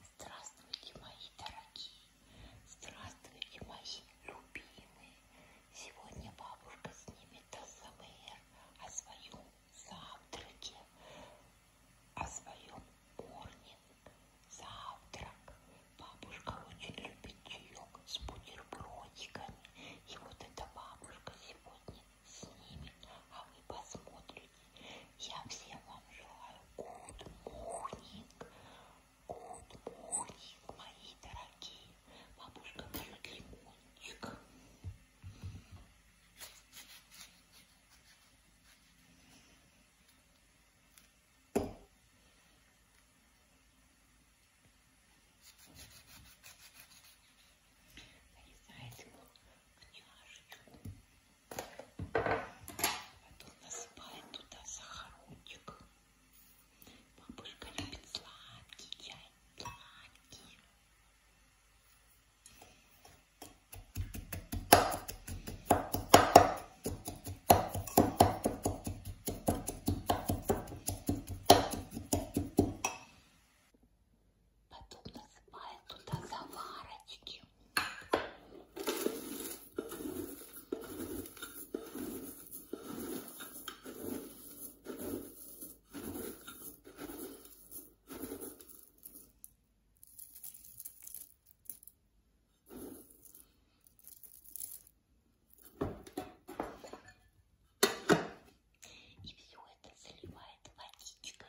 Здравствуйте, мои дорогие! Здравствуйте, мои любимые! Сегодня бабушка снимет АСМР о своем завтраке, о своем морнинг, завтрак. Бабушка очень любит чаек с бутербродиками. И вот эта бабушка сегодня снимет, а вы посмотрите. Я всем вам желаю good morning, good morning, мои дорогие. Бабушка, даю лимончик. Нарезать поняшечку. Потом насыпаем туда сахарочек. Бабушка любит сладкий чай, сладкий. Потом насыпаем туда заварочки. И все это заливает водичкой.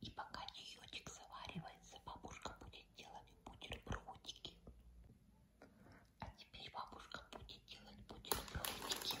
И пока чаечек заваривается, бабушка будет делать бутербродики. А теперь бабушка будет делать бутербродики.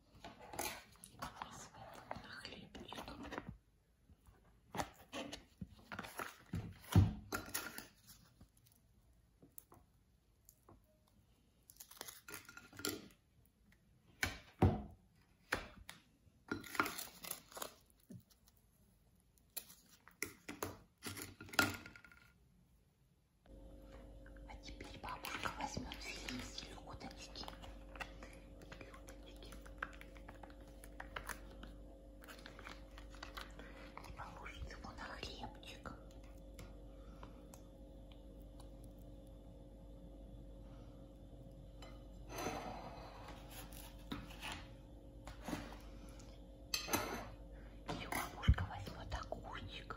на хлеб. А теперь бабушка возьмет филе селедочки и положится ему на хлебчик. Ее бабушка возьмет огурчик.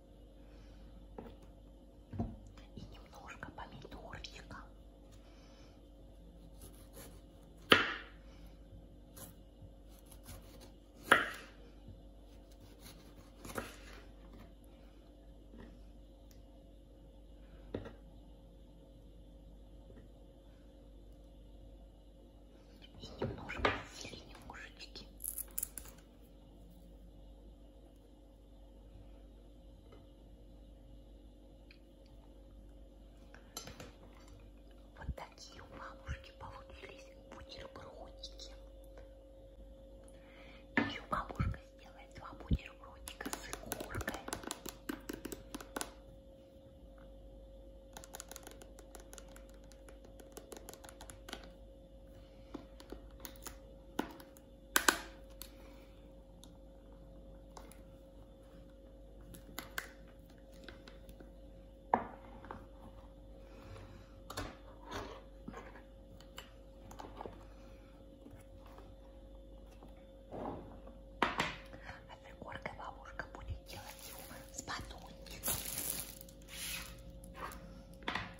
И немножко помидорчика. И немножко зелени мужички. Вот такие у мамушки получились бутербродики. Еще бабушка сделает два бутербродика с игуркой. А пригорка бабушка будет делать с батонницей.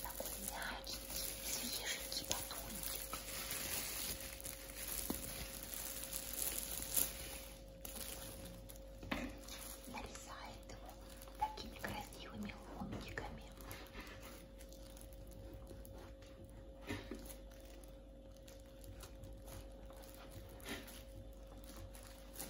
Такой мягенький, свеженький батончик. Нарезает его такими красивыми ломтиками.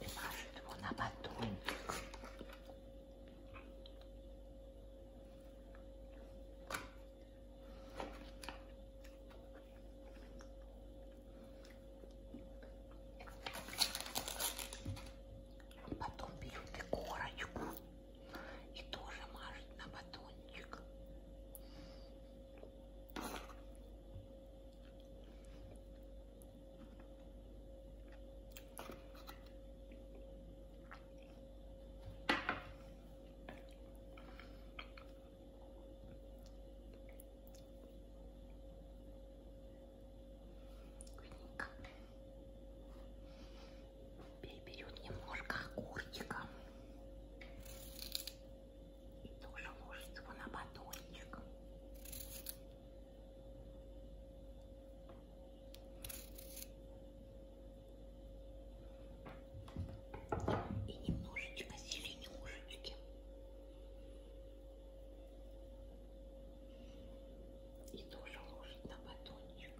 и мажет его на батончик. Потом берет и корочку и тоже мажет на батончик. Переберем немножко огурчика и тоже ложится его на батончик. И немножечко зеленюшечки. И тоже ложит на батончик.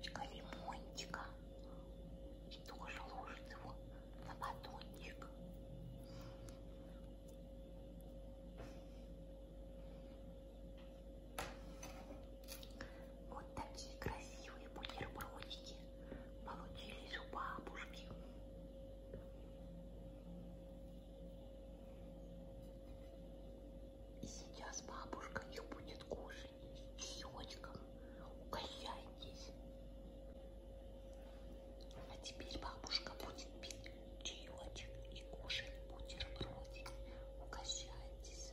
Чутка лимончика. И тоже ложит его на батончик. Вот такие красивые бутербродики получились у бабушки. И сейчас бабушка их будет кушать с щечком у хозяйки есть. А теперь бабушка будет пить чаечек и кушать бутербродик. Угощайтесь.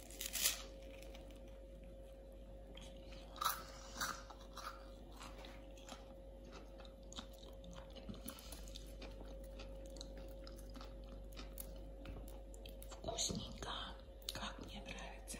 Вкусненько, как мне нравится.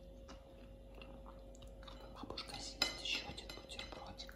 Бабушка съест еще один бутербродик.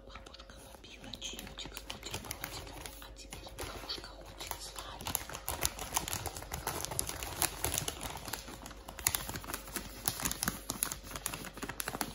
Бабушка любила чаечек с бутербродиком, а теперь бабушка хочет сладкий.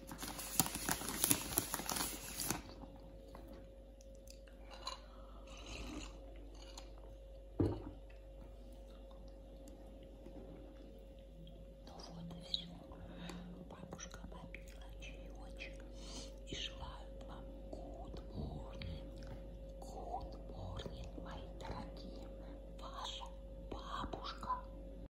Ну вот и все. Бабушка попила чаечек и желают вам good morning, good morning, мои дорогие, ваша бабушка.